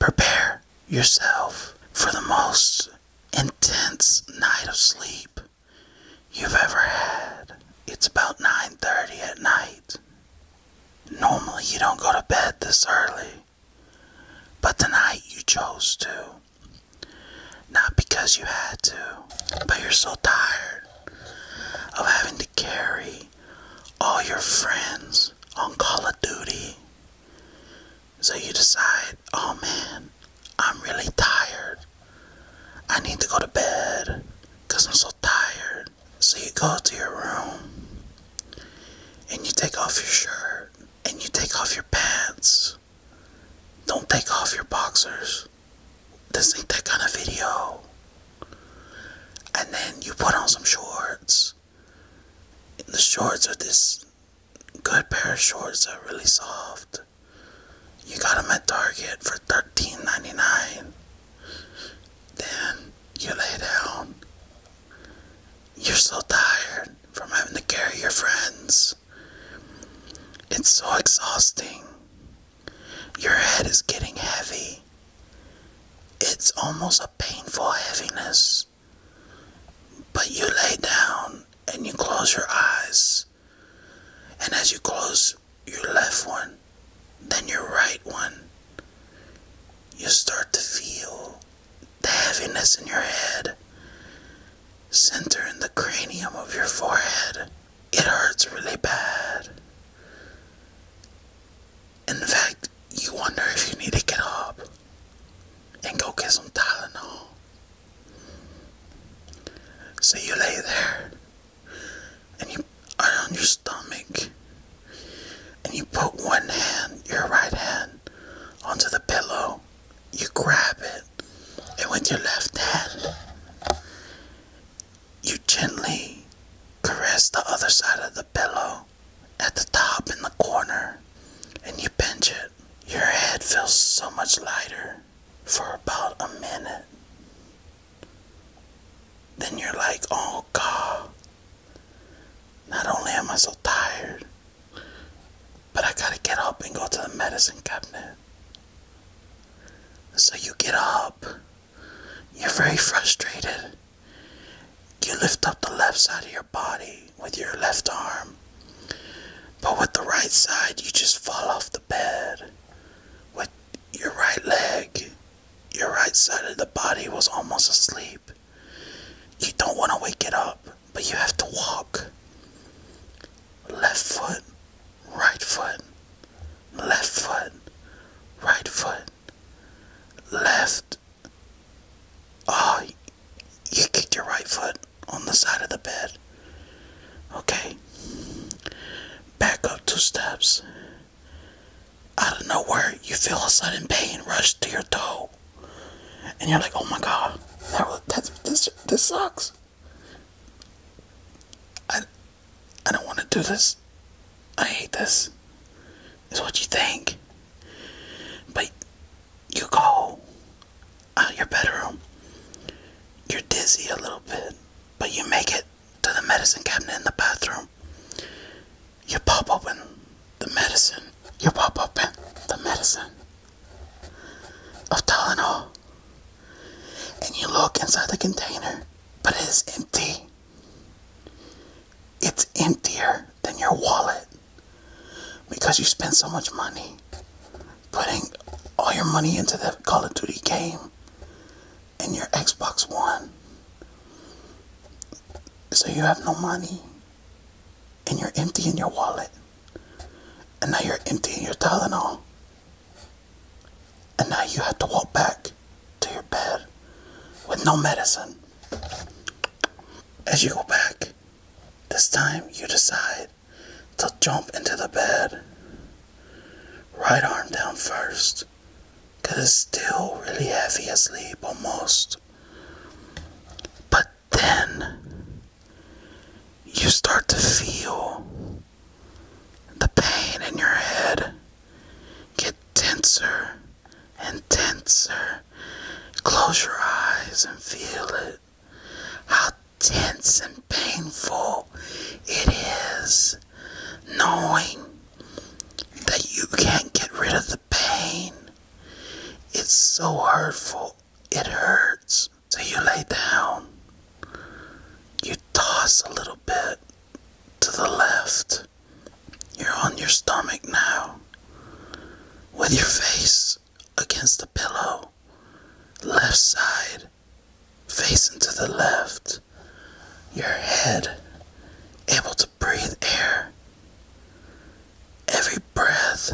Prepare yourself for the most intense night of sleep you've ever had. It's about 9:30 at night. Normally you don't go to bed this early, but tonight you chose to. Not because you had to, but you're so tired of having to carry all your friends on Call of Duty. So you decide, oh man, I'm really tired. I need to go to bed because I'm so tired. So you go to your room and you take off your shirt and you take off your pants. Don't take off your boxers. This ain't that kind of video. And then you put on some shorts the shorts are this good pair of shorts that are really soft. You got them at Target for $13.99. Then you lay down. You're so tired from having to carry your friends. It's so exhausting. Your head is getting heavy. It's almost a painful heaviness. But you lay down and you close your eyes. And as you close your left one, then your right one, you start to feel the heaviness in your head center in the cranium of your forehead. It hurts really bad. In fact, you wonder if you need to get up and go get some Tylenol. So you lay there and you are on your stomach and you put one hand, your right hand, onto the pillow. You grab it and with your left hand, you gently caress the other side of the pillow at the top in the corner and you pinch it, your head feels so much lighter for about a minute. Then you're like, oh God, not only am I so tired, but I gotta get up and go to the medicine cabinet. So you get up, you're very frustrated, you lift up the left side of your body with your left arm, but with the right side, you just fall off the bed. With your right leg, your right side of the body was almost asleep. You don't want to wake it up, but you have to walk. Left foot, right foot, left foot, right foot, left, Oh, you kicked your right foot on the side of the bed. Okay. Back up two steps. Out of nowhere, you feel a sudden pain rush to your toe. And you're like, oh my god, that, this, this sucks. I, I don't want to do this. I hate this. Is what you think. But you go out uh, of your bedroom, you're dizzy a little bit, but you make it to the medicine cabinet in the bathroom. You pop open the medicine. You pop open the medicine of Tylenol. And you look inside the container, but it is empty. It's emptier than your wallet because you spend so much money putting all your money into the Call of Duty game and your Xbox One. So you have no money and you're empty in your wallet. And now you're empty in your Tylenol. And now you have to walk back to your bed with no medicine. As you go back, this time you decide to jump into the bed. Right arm down first, because it's still really heavy asleep almost. But then you start to feel the pain in your head Get tenser and tenser. Close your eyes and feel it. How tense and painful it is knowing that you can't get rid of the pain. It's so hurtful, it hurts. So you lay down, you toss a little bit to the left. You're on your stomach now, with your face against the pillow, left side, facing to the left, your head able to breathe air. Every breath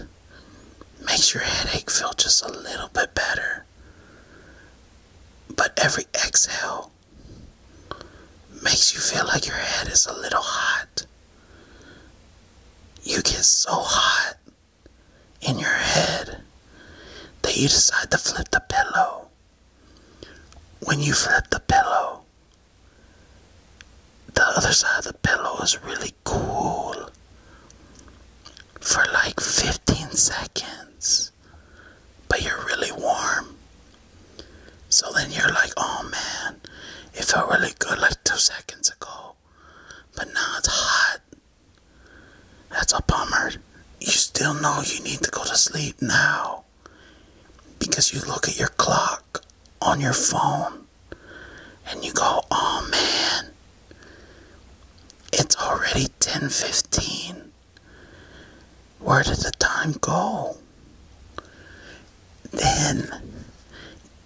makes your headache feel just a little bit better, but every exhale makes you feel like your head is a little hot. You get so hot in your head that you decide to flip the pillow. When you flip the pillow, the other side of the pillow is really cool for like 15 seconds, but you're really warm so then you're like, oh man, it felt really good like two seconds ago, but now it's hot. That's a bummer. You still know you need to go to sleep now because you look at your clock on your phone and you go, oh man, it's already 10:15 where did the time go? Then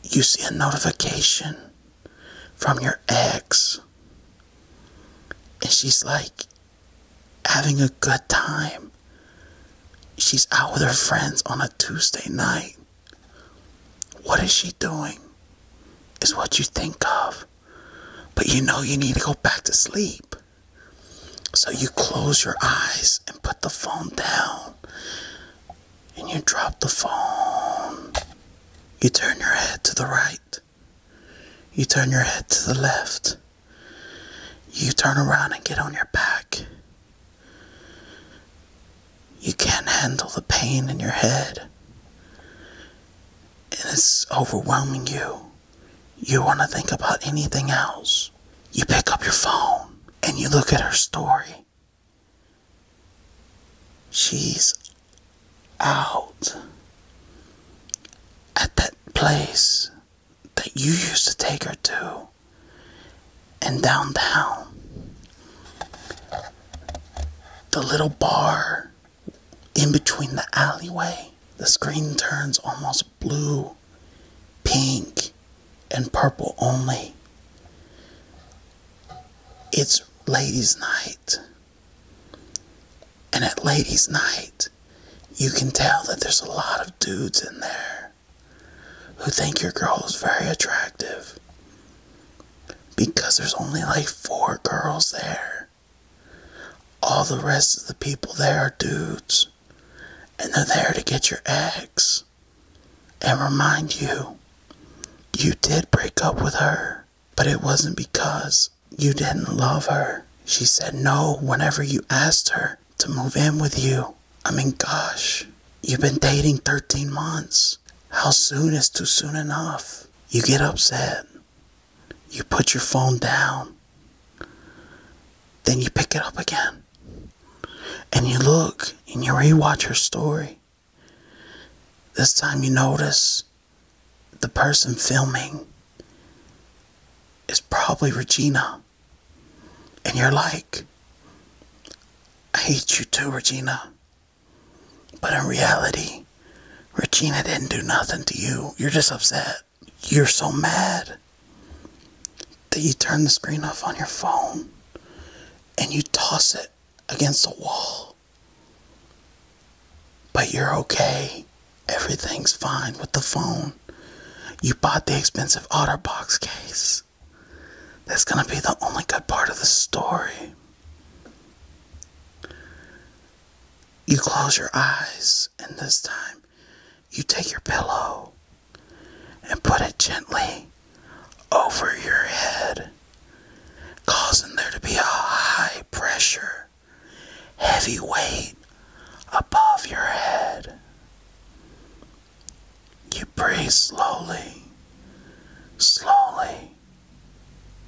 you see a notification from your ex, and she's like having a good time. She's out with her friends on a Tuesday night. What is she doing? Is what you think of. But you know you need to go back to sleep. So you close your eyes and put the phone down. And you drop the phone. You turn your head to the right. You turn your head to the left. You turn around and get on your back. You can't handle the pain in your head. And it's overwhelming you you want to think about anything else. You pick up your phone and you look at her story. She's out at that place that you used to take her to and downtown. The little bar in between the alleyway, the screen turns almost blue, pink, and purple only. It's ladies' night. And at ladies' night, you can tell that there's a lot of dudes in there who think your girl is very attractive because there's only like four girls there. All the rest of the people there are dudes and they're there to get your ex and remind you you did break up with her, but it wasn't because you didn't love her. She said no whenever you asked her to move in with you. I mean, gosh, you've been dating 13 months. How soon is too soon enough? You get upset. You put your phone down. Then you pick it up again and you look and you rewatch her story. This time you notice the person filming is probably Regina. And you're like, I hate you too, Regina. But in reality, Regina didn't do nothing to you. You're just upset you're so mad that you turn the screen off on your phone and you toss it against the wall. But you're okay. Everything's fine with the phone. You bought the expensive OtterBox case. That's going to be the only good part of the story. You close your eyes, and this time you take your pillow and put it gently over your head, causing there to be a high pressure, heavy weight above your head. You breathe slowly, slowly,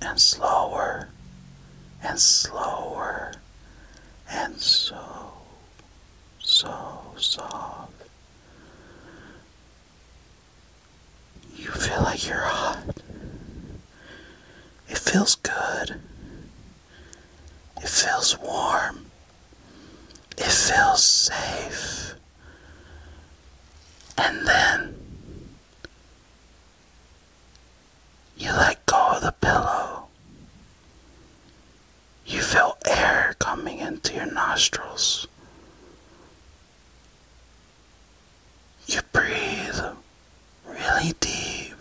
and slower, and slower, and so so soft. You feel like you're hot. It feels good. It feels warm. It feels safe. And then you let go of the pillow. You feel air coming into your nostrils. You breathe really deep.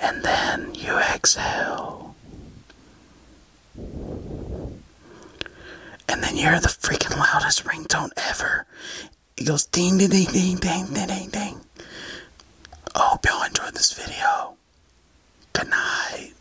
And then you exhale. And then you're the freaking loudest ringtone ever. It goes ding, ding, ding, ding, ding, ding, ding, ding. I hope y'all enjoyed this video. Good night.